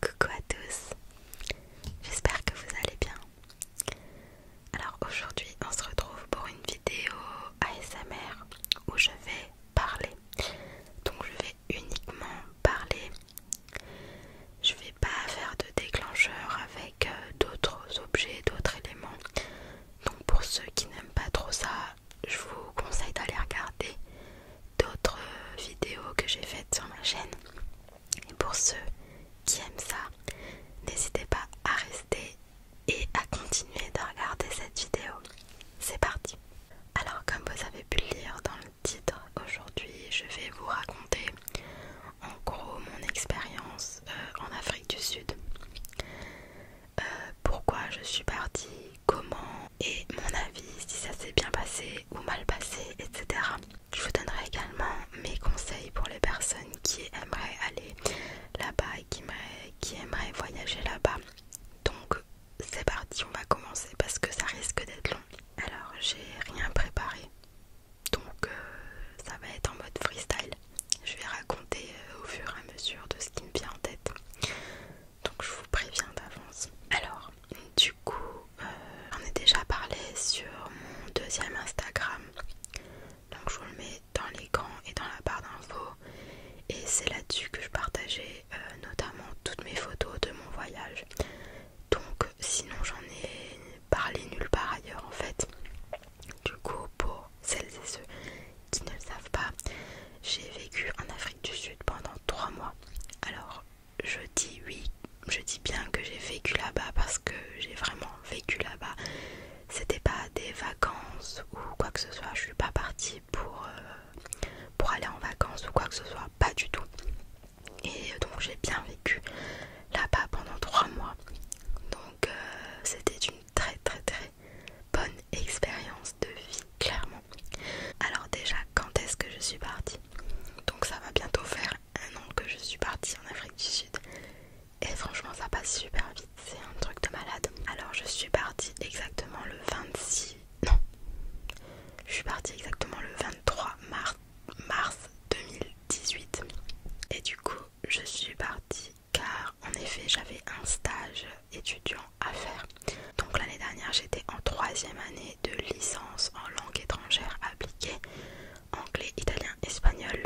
Coucou à tous, j'espère que vous allez bien. Alors aujourd'hui on se retrouve pour une vidéo ASMR où je vais parler. Donc je vais uniquement parler. Je vais pas faire de déclencheur avec euh, d'autres objets, d'autres éléments. Donc pour ceux qui n'aiment pas trop ça, je vous conseille d'aller regarder d'autres euh, vidéos que j'ai faites sur ma chaîne. Et pour ceux qui aiment ça, n'hésitez pas à rester et à continuer de regarder cette vidéo. C'est parti Alors comme vous avez pu le lire dans le titre, aujourd'hui je vais vous raconter en gros mon expérience euh, en Afrique du Sud. Euh, pourquoi je suis partie, comment et mon avis si ça s'est bien passé ou mal passé, etc. Je vous donnerai également mes conseils pour les personnes qui aimeraient aller là-bas et qui aimeraient, voyager là-bas. Donc c'est parti, on va commencer parce que ça risque d'être long. Alors j'ai rien préparé, donc euh, ça va être en mode freestyle. Je vais raconter euh, au fur et à mesure de ce qui me vient en tête donc je vous préviens d'avance. Alors, du coup, euh, j'en ai déjà parlé sur mon deuxième Instagram, donc je vous le mets dans les gants et dans la barre d'infos. Et c'est là-dessus que je partageais euh, notamment toutes mes photos de mon voyage. Donc, sinon, j'en ai parlé nulle part ailleurs en fait. Du coup, pour celles et ceux qui ne le savent pas, j'ai vécu en Afrique du Sud pendant 3 mois. Alors, je dis oui, je dis bien que j'ai vécu là-bas parce que j'ai vraiment vécu là-bas. C'était pas des vacances ou quoi que ce soit, je suis pas partie pour, euh, aller en vacances ou quoi que ce soit, pas du tout. Et donc j'ai bien vécu là-bas pendant trois mois. Donc euh, c'était une très très très bonne expérience de vie clairement. Alors déjà, quand est-ce que je suis partie Donc ça va bientôt faire un an que je suis partie en Afrique du Sud. Et franchement, ça passe super vite, c'est un truc de malade. Alors je suis partie exactement le 26... Non. Je suis partie exactement le 23 mars, mars 2018. Et du coup, je suis partie car en effet, j'avais un stage étudiant à faire. Donc l'année dernière j'étais en troisième année de licence en langue étrangère appliquée, anglais, italien, espagnol.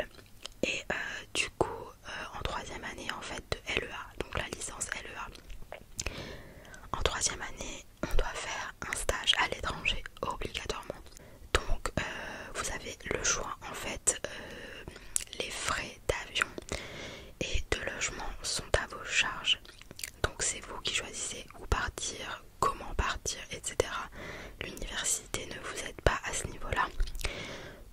Et euh, du coup euh, en troisième année en fait de LEA, donc la licence LEA. En troisième année on doit faire un stage à l'étranger obligatoirement. Donc euh, vous avez le choix en fait, les frais d'avion et de logement sont à vos charges. Donc c'est vous qui choisissez où partir, comment partir, etc. L'université ne vous aide pas à ce niveau-là.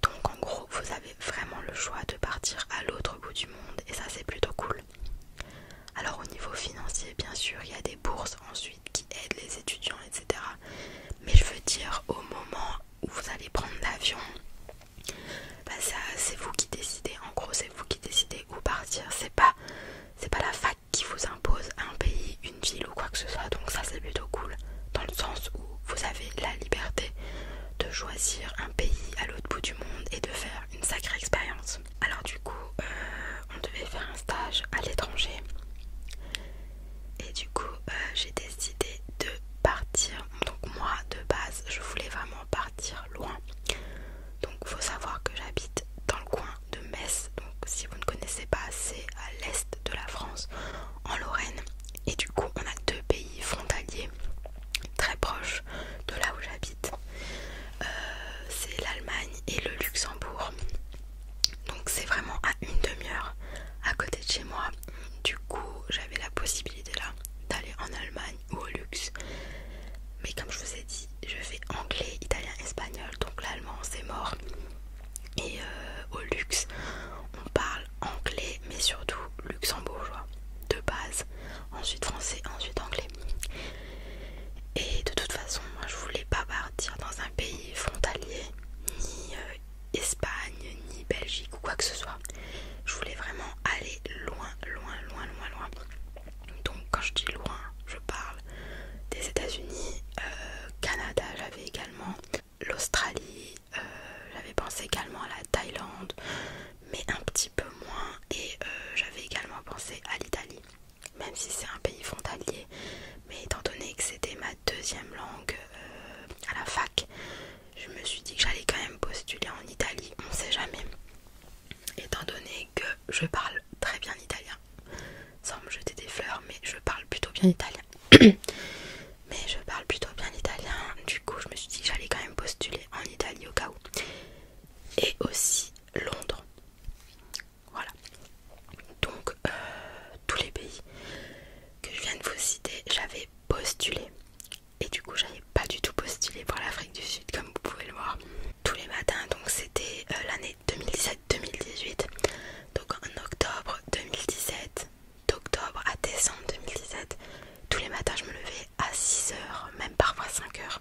Donc en gros, vous avez vraiment le choix de partir à l'autre bout du monde et ça c'est plutôt cool. Alors au niveau financier, bien sûr, il y a des bourses ensuite qui aident les étudiants, etc. Mais je veux dire, au moment où vous allez prendre l'avion, bah, ça c'est vous qui décidez. En gros, c'est vous qui décidez où partir, c'est pas, pas la fac qui vous impose un pays, une ville ou quoi que ce soit, donc ça c'est plutôt cool, dans le sens où vous avez la liberté de choisir un pays à l'autre bout du monde et de faire une sacrée expérience. Alors du coup, euh, on devait faire un stage à l'étranger et du coup euh, j'ai décidé de partir. Donc moi de base, je voulais vraiment partir loin. Donc faut savoir que j'habite dans le coin de Metz. Donc si vous ne connaissez pas, c'est à l'est de la France, en Lorraine. Et du coup on a deux pays frontaliers très proches de là où j'habite. Euh, c'est l'Allemagne et le Luxembourg. Donc c'est vraiment à une demi-heure à côté de chez moi. Du coup j'avais la possibilité là d'aller en Allemagne au luxe. Mais comme je vous ai dit, je fais anglais, italien, espagnol, donc l'allemand c'est mort. Et euh, au luxe, on parle anglais, mais surtout luxembourgeois, de base. Ensuite français, ensuite anglais. Et de toute façon, je voulais pas partir dans un pays frontalier, ni euh, Espagne, ni Belgique ou quoi que ce soit. Je voulais vraiment aller loin, loin, loin, loin, loin. Donc quand je dis loin, je parle des États-Unis, euh, Canada j'avais également, l'Australie, euh, j'avais pensé également à la Thaïlande, mais un petit peu moins, et euh, j'avais également pensé à l'Italie, même si c'est un pays frontalier, mais étant donné que c'était ma deuxième langue à la fac, je me suis dit que j'allais quand même postuler en Italie, on sait jamais étant donné que je parle très bien italien, sans me jeter des fleurs, mais je parle plutôt bien italien. mais je parle plutôt bien italien, du coup je me suis dit que j'allais quand même postuler en Italie au cas où. Et aussi Londres. Voilà. Donc euh, tous les pays que je viens de vous citer, j'avais postulé. Et du coup j'avais pas du tout postulé pour l'Afrique du Sud comme vous pouvez le voir tous les matins donc c'était euh, l'année 2017-2018 donc en octobre 2017 d'octobre à décembre 2017 tous les matins je me levais à 6h même parfois 5h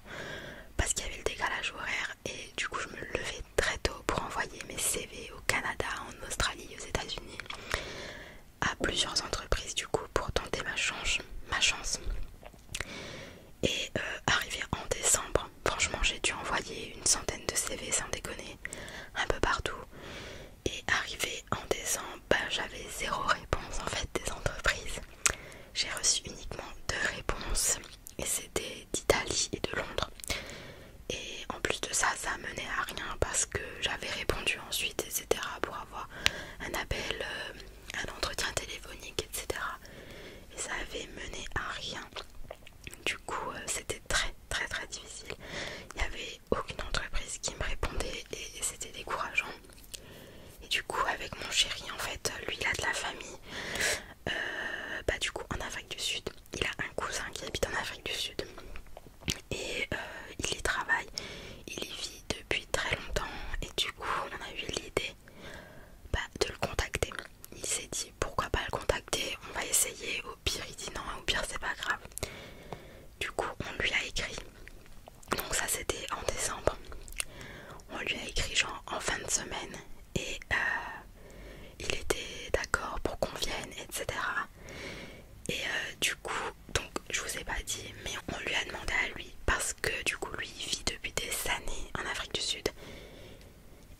parce qu'il y avait le décalage horaire et du coup je me levais très tôt pour envoyer mes CV au Canada, en Australie, aux états unis à plusieurs entreprises du coup pour tenter ma chance ma chance et euh, arrivé en décembre, franchement j'ai dû envoyer une centaine de CV sans déconner, un peu partout. Et arrivé en décembre, bah, j'avais zéro réponse en fait des entreprises. J'ai reçu uniquement deux réponses et c'était d'Italie et de Londres. Et en plus de ça, ça menait à rien parce que j'avais répondu ensuite, etc. pour avoir un appel euh, un entretien téléphonique, etc. Et ça avait mené à rien. Du coup, euh, c'était très très très difficile. Il n'y avait aucune entreprise qui me répondait et, c'était décourageant. Et du coup, avec mon chéri, en fait, lui, il a de la famille. Euh, bah, du coup, en Afrique du Sud, il a un cousin qui habite en Afrique du Sud. Et euh, il y travaille, il y vit depuis très longtemps. Et du coup, on a eu l'idée bah, de le contacter. Il s'est dit pourquoi pas le contacter, on va essayer, au pire il dit non, au pire c'est pas grave. Du coup on lui a écrit, donc ça c'était en décembre, on lui a écrit genre en fin de semaine et euh, il était d'accord pour qu'on vienne, etc. Et euh, du coup, donc je vous ai pas dit, mais on lui a demandé à lui parce que du coup lui vit depuis des années en Afrique du Sud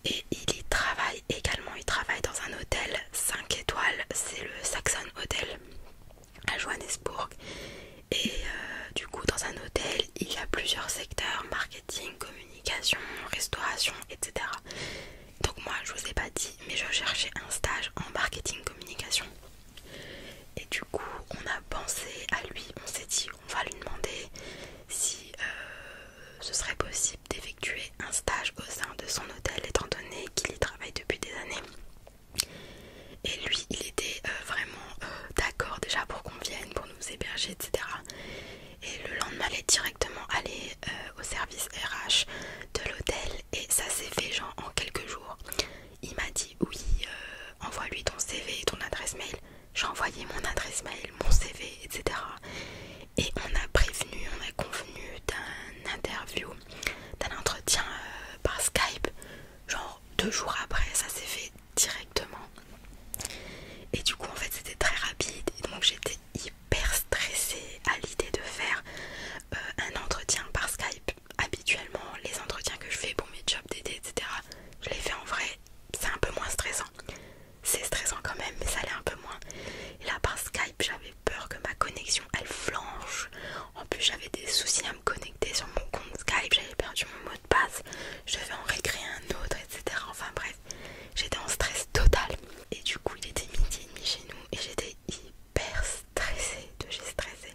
et il y travaille également, il travaille dans un hôtel 5 étoiles, c'est le Saxon Hotel à Johannesburg et euh, du coup dans un hôtel il y a plusieurs secteurs, marketing, communication, restauration, etc. Donc moi je vous ai pas dit mais je cherchais un stage en marketing communication et du coup, on a pensé à lui, on s'est dit, on va lui demander si euh, ce serait possible d'effectuer un stage au sein de son hôtel, étant donné qu'il y travaille depuis des années. Et lui, il était euh, vraiment euh, d'accord déjà pour qu'on vienne, pour nous héberger, etc. Et le lendemain, il est directement allé au service RH de l'hôtel et ça s'est fait genre en quelques jours. Il m'a dit oui, euh, envoie-lui ton CV et ton adresse mail. J'ai envoyé mon adresse mail, mon CV, etc. Et on a prévenu, on a convenu d'un interview, d'un entretien euh, par Skype. Genre deux jours après, ça s'est fait directement. Et du coup, en fait, c'était très rapide. donc, j'étais hyper stressée à l'idée de faire euh, un entretien par Skype habituellement les entretiens que je fais pour mes jobs d'été, etc. Je les fais en vrai, c'est un peu moins stressant. C'est stressant quand même, mais ça l'est un peu moins. Et là, par Skype, j'avais peur que ma connexion elle flanche. En plus, j'avais des soucis à me connecter sur mon compte Skype, j'avais perdu mon mot de passe, je devais en récréer un autre, etc. Enfin bref, j'étais en stress total. Et du coup, il était midi et demi chez nous et j'étais hyper stressée de stressé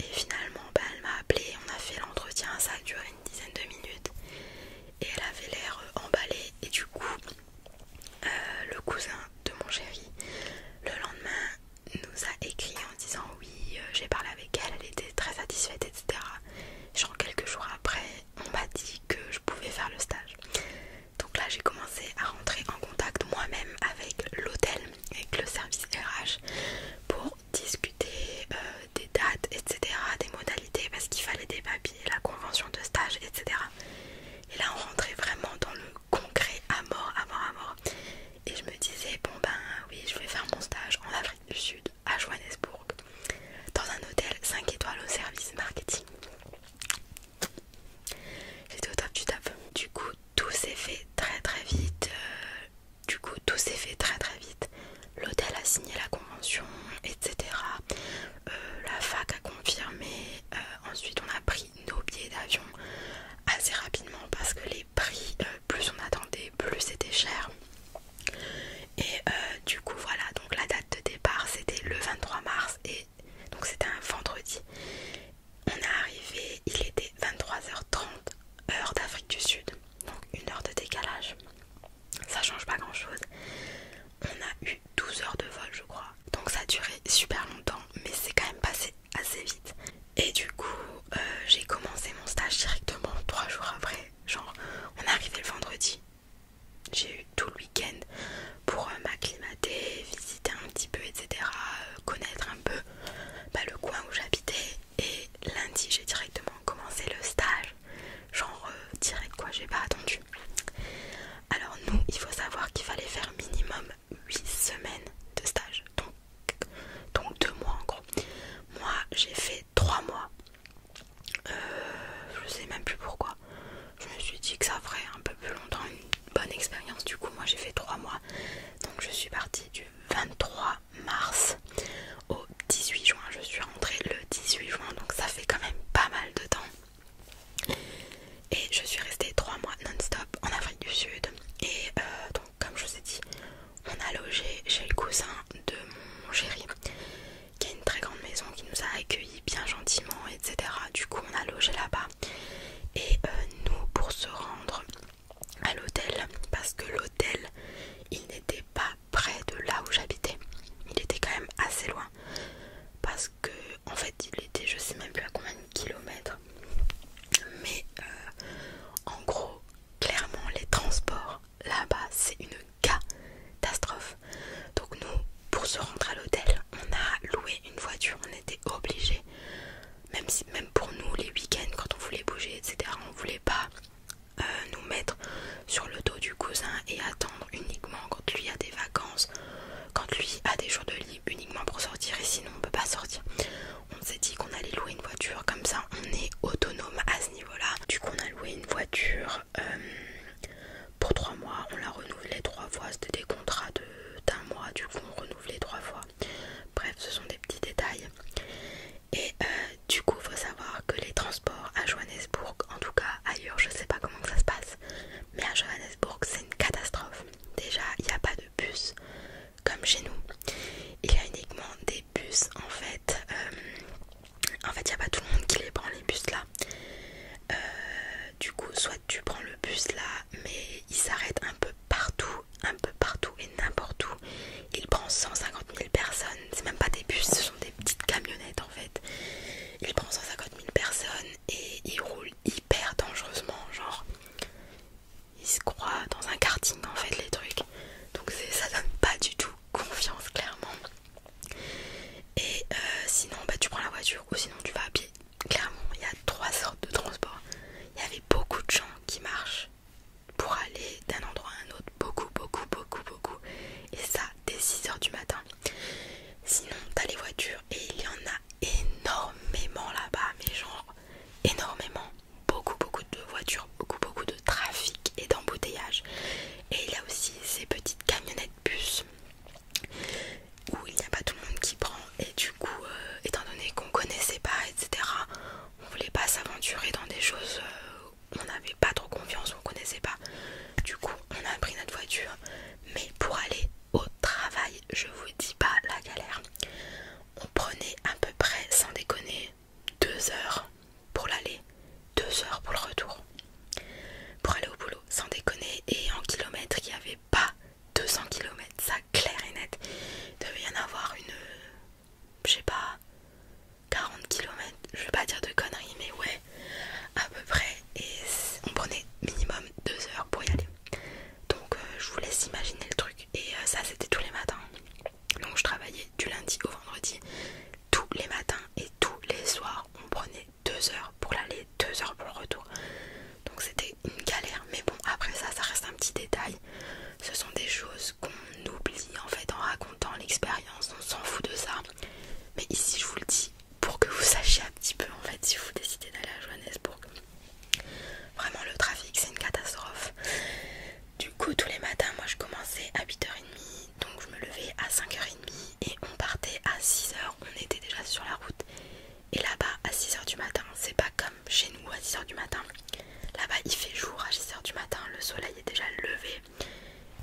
et finalement, bah, elle m'a appelé, on a fait l'entretien, ça a duré une dizaine de minutes. Et elle avait l'air euh, emballée. Et du coup, euh, le cousin de mon chéri, le lendemain, nous a écrit en disant oui, euh, j'ai parlé avec elle, elle était très satisfaite, etc. Genre quelques jours après, on m'a dit que je pouvais faire le stage. Donc là, j'ai commencé à rentrer en contact moi-même avec l'hôtel, avec le service RH, pour discuter euh, des dates, etc., des modalités, parce qu'il fallait des papiers, la convention de stage, etc. Et là, on rentrait vraiment dans le concret à mort, à mort, à mort. Et je me disais, bon ben oui, je vais faire mon stage en Afrique du Sud, à Johannesburg, dans un hôtel 5 étoiles au service marketing. J'étais au top du top. Du coup, tout s'est fait très très vite. Euh, du coup, tout s'est fait très très vite. L'hôtel a signé la convention, etc. Euh, la fac a confirmé. Euh, ensuite, on a pris nos billets d'avion assez rapidement parce que les prix, euh, plus on attendait, plus c'était cher. Et du coup, voilà. Donc la date de départ, c'était le 23 mars et donc c'était un vendredi. On est arrivé, il était 23h30, heure d'Afrique du Sud, donc une heure de décalage. Ça change pas grand chose. On a eu 12 heures de vol, je crois. Donc ça a duré super longtemps, mais c'est quand même passé assez vite. Et du coup, euh, j'ai commencé mon stage directement trois jours après. Genre, on est arrivé le vendredi. J'ai eu tout le week-end pour euh, m'acclimater, visiter un petit peu, etc. Euh, connaître un peu bah, le coin où j'habitais, et lundi, j'ai directement commencé le stage. Genre, euh, direct quoi, j'ai pas attendu. Alors, nous, il faut savoir qu'il fallait faire minimum 8 semaines de stage. Donc, donc 2 mois en gros. Moi, j'ai fait 3 mois. Euh, je sais même plus pourquoi. Je me suis dit que ça ferait un peu plus longtemps une bonne expérience. Du coup, moi, j'ai fait 3 mois. Donc, je suis partie du 23 mars au 18 juin. Je suis rentrée le 18 juin, donc ça fait quand même pas mal de temps. Et je suis restée 3 mois non-stop en Afrique du Sud. Et euh, donc, comme je vous ai dit, on a logé chez le cousin de mon chéri, qui a une très grande maison, qui nous a accueillis bien gentiment, etc. Du coup, on a logé là-bas. Et euh, nous, pour se rendre à l'hôtel parce que l'hôtel il n'était pas près de là où j'habitais. Il était quand même assez loin parce que en fait il était je sais même plus à combien de kilomètres. Mais euh, en gros clairement les transports là-bas c'est une catastrophe. Donc nous pour se rendre à l'hôtel on a loué une voiture, on était obligé même, même pour nous les week-ends quand on voulait bouger etc on voulait pas euh, nous mettre sur le dos du cousin et attendre uniquement quand lui a des vacances quand lui a des jours de libre uniquement pour sortir et sinon on peut pas sortir on s'est dit qu'on allait louer une voiture comme ça on est autonome à ce niveau là du coup on a loué une voiture euh, pour trois mois on l'a renouvelée trois fois c'était des contrats d'un mois du coup on renouvelait trois fois Bref, ce sont des petits détails. Et euh, du coup, faut savoir que les transports à Johannesburg, en tout cas ailleurs, je sais pas comment ça se passe, mais à Johannesburg, c'est une catastrophe. Déjà, il n'y a pas de bus comme chez nous. Il y a uniquement des bus en fait. Euh, en fait, il n'y a pas tout le monde qui les prend les bus là. Euh, du coup, soit tu prends le bus là, mais il s'arrête un peu partout un peu partout et n'importe où. Il prend 150 000 personnes, c'est même pas des bus, ce sont des petites camionnettes en fait. Il prend 150 000 personnes et il roule hyper dangereusement, genre il se croit dans un karting en fait les trucs. Donc ça donne pas du tout confiance clairement. Et euh, sinon bah tu prends la voiture ou sinon tu vas à pied. Clairement il y a trois sortes de transports. Il y avait beaucoup de gens qui marchent pour aller d'un endroit à un autre beaucoup beaucoup beaucoup beaucoup et ça dès 6h du matin sinon t'as les voitures et il y en a énormément là-bas mais genre énormément beaucoup beaucoup de voitures beaucoup beaucoup de trafic et d'embouteillage et il y a aussi ces petites camionnettes bus où il n'y a pas tout le monde qui prend et du coup euh, étant donné qu'on connaissait pas etc on voulait pas s'aventurer dans des choses où euh, on n'avait pas trop confiance, on connaissait pas. Du coup, on a pris notre voiture, mais pour aller au travail, je vous dis pas la galère. On prenait à peu près, sans déconner, deux heures pour l'aller, deux heures pour le retour. Pour aller au boulot, sans déconner, et en kilomètres, il n'y avait pas 200 km, ça clair et net. Il devait y en avoir une, je sais pas, 40 km, je vais pas dire de conneries, mais ouais, à peu près. Et on prenait minimum 2 heures pour y aller. Donc euh, je vous laisse imaginer le truc. Et euh, ça, c'était tous les matins. Donc je travaillais du lundi au vendredi, tous les matins et tous les soirs. On prenait 2 heures pour l'aller, 2 heures pour le retour. Donc c'était une galère, mais bon, après ça, ça reste un petit détail. Ce sont des choses qu'on oublie en fait en racontant l'expérience, on s'en fout de ça. Mais ici, je vous le dis pour que vous sachiez un petit peu en fait si vous décidez d'aller à Johannesburg. Vraiment, le trafic, c'est une catastrophe. Du coup, tous les matins, moi je commençais à 8h30, donc je me levais à 5h30 et on partait à 6h. On était déjà sur la route et là-bas, à 6h du matin, c'est pas comme chez nous à 6h du matin. Là-bas, il fait jour à 6h du matin, le soleil est déjà levé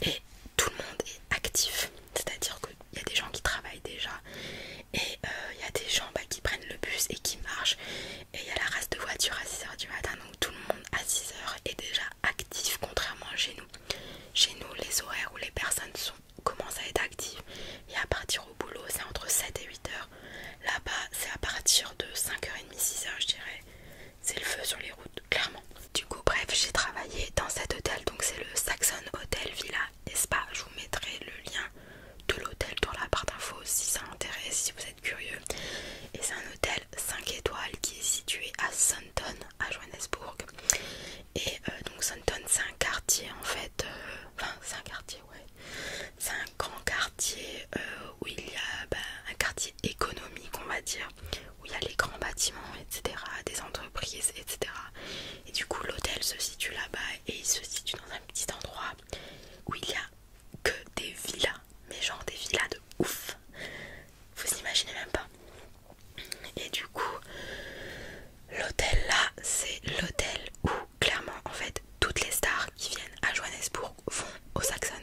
et tout le monde est actif. C'est-à-dire qu'il y a des gens qui travaillent déjà et il euh, y a des gens bah, qui prennent le bus et qui marchent. Et il y a la race de voitures à 6h du matin, donc tout le monde à 6h est déjà actif, contrairement à chez nous. Chez nous, les horaires où les personnes commencent à être actives et à partir boulot, c'est entre 7 et 8 heures. Là-bas, c'est à partir de 5h30, 6h, je dirais. C'est le feu sur les routes, clairement. Du coup, bref, j'ai travaillé dans cet hôtel, donc c'est le Saxon Hotel Villa Espa. Je vous mettrai le lien de l'hôtel dans la barre d'infos si ça intéresse, si vous êtes curieux. Et c'est un hôtel 5 étoiles qui est situé à Sunton, à Johannesburg. Et euh, donc Sunton, c'est un quartier en fait. Euh, enfin, c'est un quartier, ouais. C'est grand quartier euh, où il y a ben, un quartier économique on va dire où il y a les grands bâtiments etc des entreprises etc et du coup l'hôtel se situe là-bas et il se situe dans un petit endroit où il y a que des villas mais genre des villas de ouf vous imaginez même pas et du coup l'hôtel là c'est l'hôtel où clairement en fait toutes les stars qui viennent à Johannesburg vont au Saxon.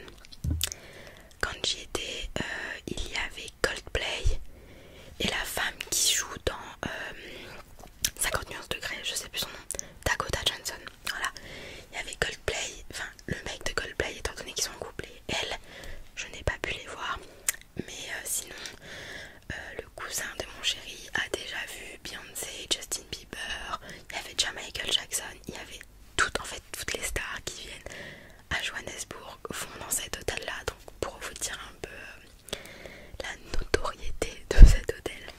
Quand j'y étais, euh, il y avait Coldplay et la femme qui joue dans 50 euh, degrés, je sais plus son nom, Dakota Johnson. Voilà, il y avait Coldplay, enfin le mec de Coldplay étant donné qu'ils sont en couple elle, je n'ai pas pu les voir. Mais euh, sinon, le cousin de mon chéri a déjà vu Beyoncé, Justin Bieber, il y avait déjà Michael Jackson, il y avait toutes en fait toutes les stars qui viennent à Johannesburg font dans cet hôtel là donc pour vous dire un peu euh, la notoriété de cet hôtel.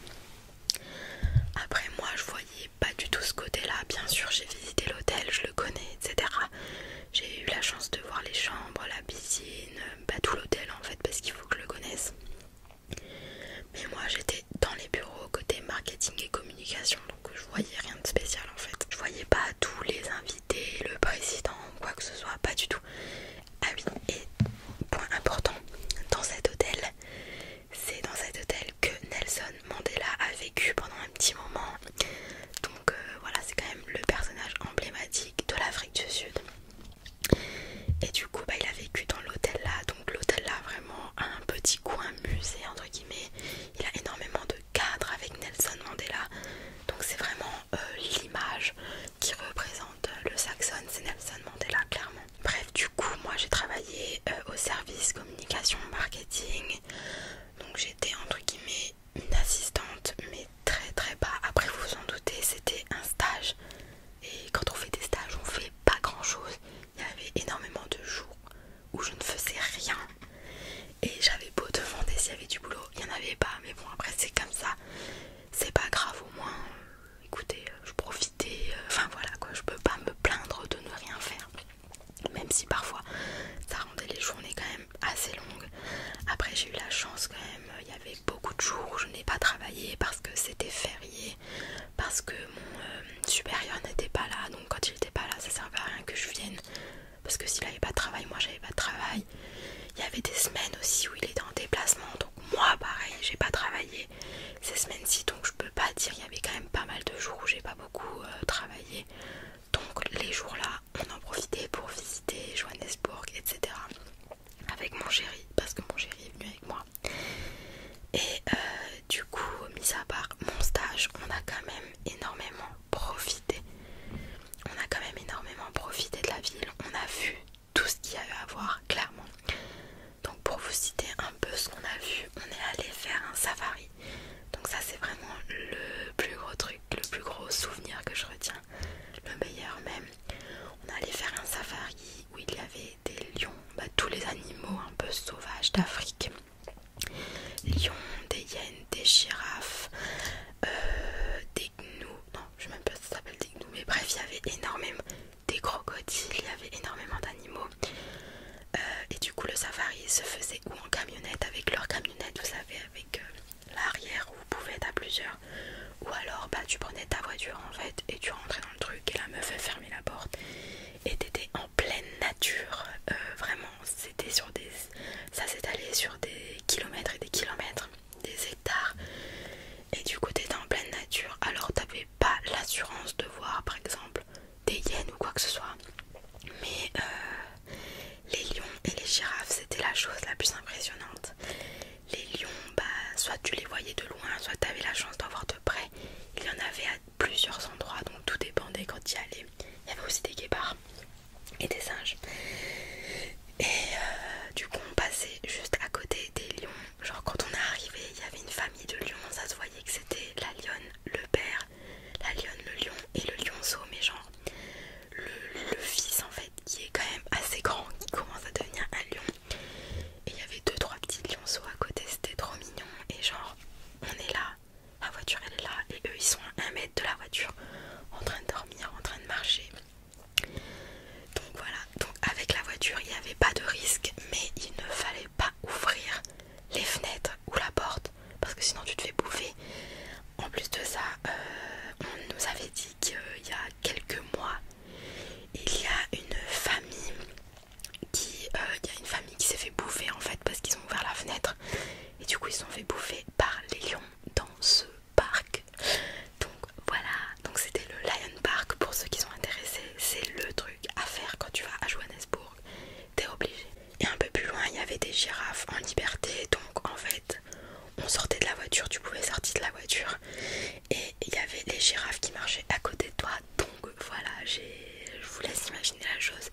Après moi je voyais pas du tout ce côté là, bien sûr j'ai visité l'hôtel, je le connais, etc. J'ai eu la chance de voir les chambres, la piscine, euh, bah, tout l'hôtel en fait parce qu'il faut que je le connaisse. Mais moi j'étais dans les bureaux côté marketing et communication donc je voyais rien de spécial en fait. Je voyais pas tous les invités, le président, quoi que ce soit, pas du tout. Ah oui, et point important, dans cet hôtel, c'est dans cet hôtel que Nelson Mandela a vécu pendant un petit moment. Donc euh, voilà, c'est quand même le personnage emblématique de l'Afrique du Sud. Et du coup, bah, il a vécu dans l'hôtel là. Donc, l'hôtel là, vraiment, un petit coin musée, entre guillemets. Il a énormément de cadres avec Nelson Mandela. Donc, c'est vraiment euh, l'image qui représente euh, le Saxon. C'est Nelson Mandela, clairement. Bref, du coup, moi j'ai travaillé euh, au service communication marketing. Donc, j'étais, entre guillemets, une assistante, mais très très bas. Après, vous vous en doutez, c'était un stage. Et quand on fait des stages, on fait pas grand chose. Il y avait énormément de jours où je ne faisais rien. Et j'avais beau demander s'il y avait du boulot, il n'y en avait pas. Mais bon, après, c'est comme ça. C'est pas grave, au moins. Écoutez, je profitais. Euh, enfin voilà quoi, je peux pas me plaindre de ne rien faire. Même si parfois ça rendait les journées quand même assez longues. Après j'ai eu la chance quand même, il y avait beaucoup de jours où je n'ai pas travaillé parce que c'était férié parce que mon euh, supérieur n'était pas là donc quand il n'était pas là ça servait à rien que je vienne parce que s'il n'avait pas de travail moi j'avais pas de travail il y avait des semaines aussi où il était en déplacement donc moi pareil j'ai pas travaillé ces semaines-ci donc je peux pas dire il y avait quand même pas mal de jours où j'ai pas beaucoup euh, travaillé donc les jours là on en profitait pour visiter Johannesburg etc avec mon chéri parce que mon chéri est venu avec moi et euh, du coup mis à part mon stage on a quand même énormément profité on a quand même énormément profité de la ville on a vu tout ce qu'il y avait à voir clairement donc pour vous citer un peu ce qu'on a vu on est allé faire un safari donc ça c'est vraiment le plus gros truc le plus gros souvenir que je retiens le meilleur même on allait faire un safari où il y avait des lions, bah, tous les animaux un peu sauvages d'Afrique. Lions, des hyènes, des girafes, euh, des gnous, non je sais même pas si ça s'appelle des gnous, mais bref il y avait énormément des crocodiles, il y avait énormément d'animaux. Euh, et du coup le safari se faisait ou en camionnette avec leur camionnette, vous savez, avec euh, l'arrière où vous pouvez être à plusieurs. Ou alors bah tu prenais ta voiture en fait et tu rentrais dans le truc et la meuf a fermé la porte et t'étais en pleine nature. Euh, vraiment c'était sur des. ça sur des kilomètres et des kilomètres, des hectares. Et du coup t'étais en pleine nature. Alors t'avais pas l'assurance de voir par exemple des hyènes ou quoi que ce soit. Mais euh, les lions et les girafes c'était la chose la plus impressionnante les lions, bah, soit tu les voyais de loin, soit tu avais la chance d'en voir de près. Il y en avait à plusieurs endroits, donc tout dépendait quand tu y allais. Il y avait aussi des guépards et des singes. Et euh, du coup, on passait juste à côté des lions. Genre, quand on est arrivé, il y avait une famille de lions, ça se voyait que c'était la lionne, le père, la lionne, le lion et le lionceau, mais genre le fils en fait, qui est quand même assez grand, qui commence à devenir un lion et il y avait deux trois petits lionceaux à côté, c'était trop mignon. Et genre, on est là, la voiture elle est là, et eux ils sont à un mètre de la voiture, en train de dormir, en train de marcher. Donc voilà, donc avec la voiture il n'y avait pas de risque, mais il ne fallait pas ouvrir les fenêtres ou la porte parce que sinon tu te fais bouffer. En plus de ça, euh, on nous avait dit qu'il y a quelques mois il y a une famille qui, euh, une famille qui s'est fait bouffer en fait parce qu'ils ont ouvert la fenêtre et du coup ils se sont fait bouffer par les lions dans ce parc. Donc voilà, donc c'était le Lion Park pour ceux qui sont intéressés. C'est le truc à faire quand tu vas à Johannesburg, t'es obligé. Et un peu plus loin, il y avait des girafes en liberté, donc en fait, on sortait de la voiture, tu pouvais sortir de la voiture et il y avait les girafes qui marchaient à côté de toi donc voilà je vous laisse imaginer la chose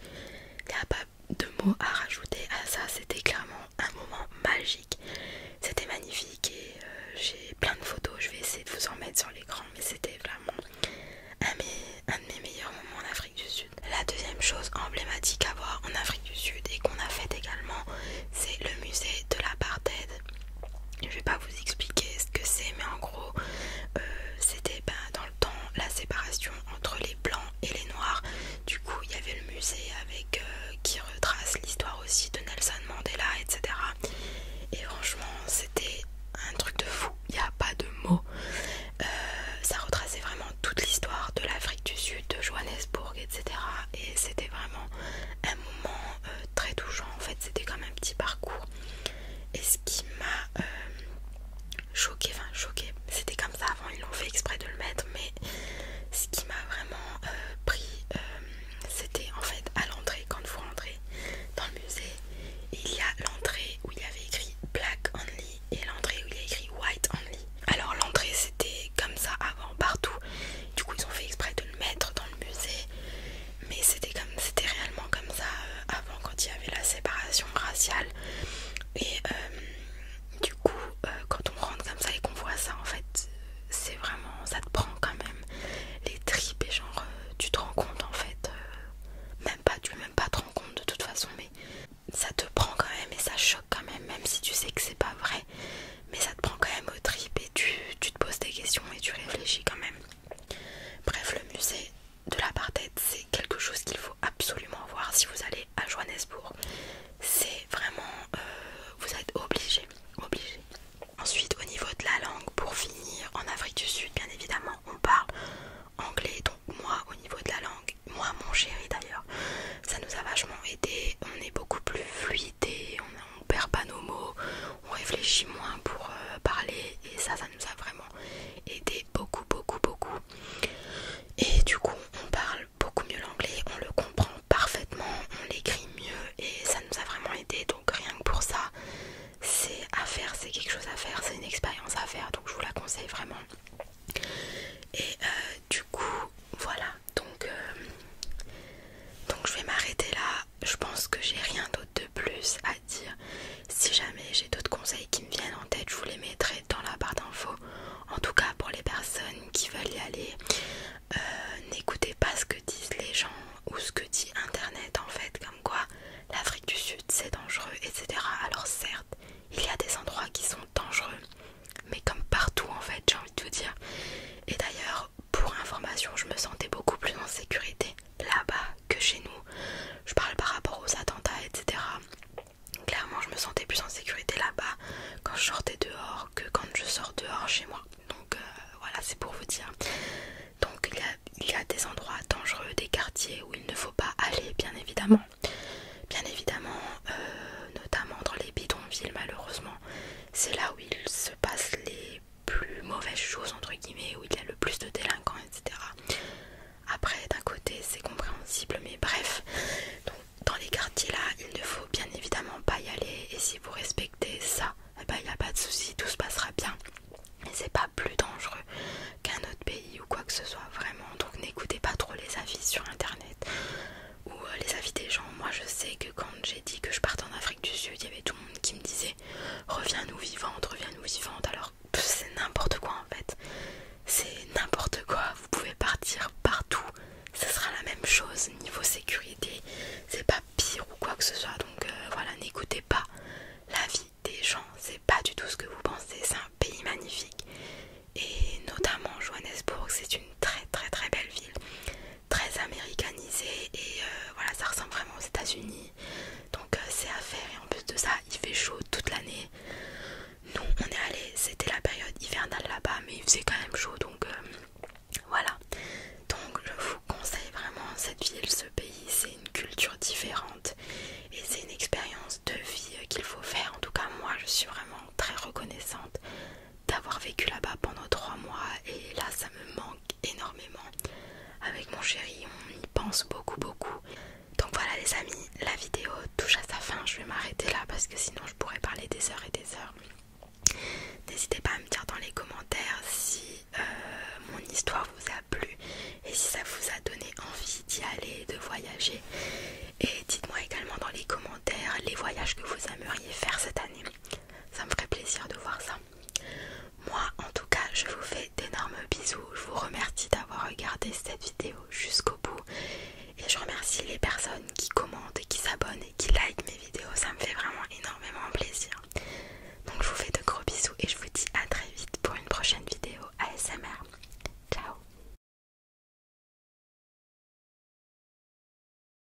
il n'y a pas de mots à rajouter à ça c'était clairement un moment magique c'était magnifique et euh, j'ai plein de photos je vais essayer de vous en mettre sur l'écran mais c'était vraiment un, de mes meilleurs moments en Afrique du Sud la deuxième chose emblématique à voir en Afrique du Sud et qu'on a faite également c'est le musée de l'apartheid je vais pas vous expliquer ce que c'est mais en gros euh, c'était ben, dans le temps la séparation entre les blancs et les noirs du coup il y avait le musée avec euh, qui retrace l'histoire aussi de Nelson Mandela etc et franchement c'était un truc de fou il n'y a pas de mots euh, ça retraçait vraiment toute l'histoire de l'Afrique du Sud de Johannesburg etc et c'était vraiment un moment très touchant en fait c'était comme un petit parcours et ce qui m'a euh, choqué enfin choqué c'était comme ça avant ils l'ont fait exprès de le mettre mais ce qui m'a vraiment euh, pris euh, c'était en fait à l'entrée quand vous rentrez dans le musée il y a l'entrée où il y avait écrit black only et l'entrée où il y a écrit white only alors l'entrée c'était comme ça avant partout du coup, ils ont fait exprès de le mettre dans le musée. Mais c'était comme c'était réellement comme ça euh, avant quand il y avait la séparation raciale. Et euh, du coup, euh, quand on rentre comme ça et qu'on voit ça, en fait, c'est vraiment ça te prend quand même les tripes et genre tu te rends compte en fait, même pas tu même pas te rends compte de toute façon, mais ça te prend quand même et ça choque quand même, même si tu sais que c'est pas vrai mais ça te prend quand même aux tripes et tu, te poses des questions et tu réfléchis quand même. Bref, le musée de l'apartheid, c'est quelque chose qu'il faut absolument voir si vous allez à Johannesburg. C'est vraiment... Euh, vous êtes obligé, obligé. Ensuite, au niveau de la langue, pour finir, en Afrique du Sud, bien évidemment, on parle anglais. Donc moi, au niveau de la langue, moi, mon chéri d'ailleurs, ça nous a vachement aidé. On est beaucoup plus fluidé on, on perd pas nos mots on réfléchit moins pour euh, parler et ça ça nous a vraiment aidé beaucoup beaucoup beaucoup et du coup on parle beaucoup mieux l'anglais on le comprend parfaitement on l'écrit mieux et ça nous a vraiment aidé donc rien que pour ça c'est à faire c'est quelque chose à faire c'est une expérience à faire donc je vous la conseille vraiment et euh, du coup voilà donc euh, donc je vais m'arrêter là je pense que j'ai rien d'autre de plus à dire. Si jamais j'ai d'autres conseils qui me viennent en tête, je vous les mettrai dans la barre d'infos. En tout cas, pour les personnes qui veulent y aller, euh, n'écoutez pas ce que disent les gens ou ce que dit Internet en fait, comme quoi l'Afrique du Sud c'est dangereux, etc. Alors certes, il y a des endroits qui sont dangereux, mais comme partout en fait, j'ai envie de vous dire. Et d'ailleurs, pour information je me sentais beaucoup plus en sécurité là-bas que chez nous. Je parle par rapport aux attentats etc. Clairement je me sentais plus en sécurité là-bas quand je sortais dehors que quand je sors dehors chez moi. Donc euh, voilà c'est pour vous dire. Donc il y, a, des endroits dangereux, des quartiers où il ne faut pas aller bien évidemment. Bien évidemment, euh, notamment dans les bidonvilles malheureusement, c'est là où il se passe les plus mauvaise chose entre guillemets où il y a le plus de délinquants etc après d'un côté c'est compréhensible mais bref dans les quartiers là il ne faut bien évidemment pas y aller et si vous respectez ça il eh n'y ben, a pas de souci tout se passera bien et c'est pas plus dangereux qu'un autre pays ou quoi que ce soit vraiment donc n'écoutez pas trop les avis sur internet ou euh, les avis des gens. Moi je sais que quand j'ai dit que je partais en Afrique du Sud, il y avait tout le monde qui me disait reviens-nous vivante, reviens-nous vivante. Alors c'est n'importe quoi en fait. C'est n'importe quoi. Vous pouvez partir partout. Ce sera la même chose niveau sécurité. C'est pas pire ou quoi que ce soit. Donc euh, voilà, n'écoutez pas l'avis des gens. C'est pas du tout ce que vous pensez. C'est un pays magnifique. Et notamment Johannesburg, c'est une très très très belle ville très américanisé et euh, voilà ça ressemble vraiment aux États-Unis donc euh, c'est à faire et en plus de ça il fait chaud toute l'année. Nous on est allé, c'était la période hivernale là-bas mais il faisait quand même chaud donc euh, voilà. Donc je vous conseille vraiment cette ville, ce pays, c'est une culture différente et c'est une expérience de vie qu'il faut faire. En tout cas moi je suis vraiment très reconnaissante d'avoir vécu là-bas pendant trois mois et là ça me manque énormément. Avec mon chéri, on y pense beaucoup beaucoup. Donc voilà les amis, la vidéo touche à sa fin. Je vais m'arrêter là parce que sinon je pourrais parler des heures et des heures. N'hésitez pas à me dire dans les commentaires si euh, mon histoire vous a plu et si ça vous a donné envie d'y aller, de voyager. Et dites-moi également dans les commentaires les voyages que vous aimeriez faire cette année ça me ferait plaisir de voir ça. Moi en tout cas je vous fais d'énormes bisous, je vous remercie d'avoir regardé cette vidéo jusqu'au bout et je remercie les personnes qui commentent, qui s'abonnent et qui likent mes vidéos, ça me fait vraiment énormément plaisir. Donc je vous fais de gros bisous et je vous dis à très vite pour une prochaine vidéo ASMR. Ciao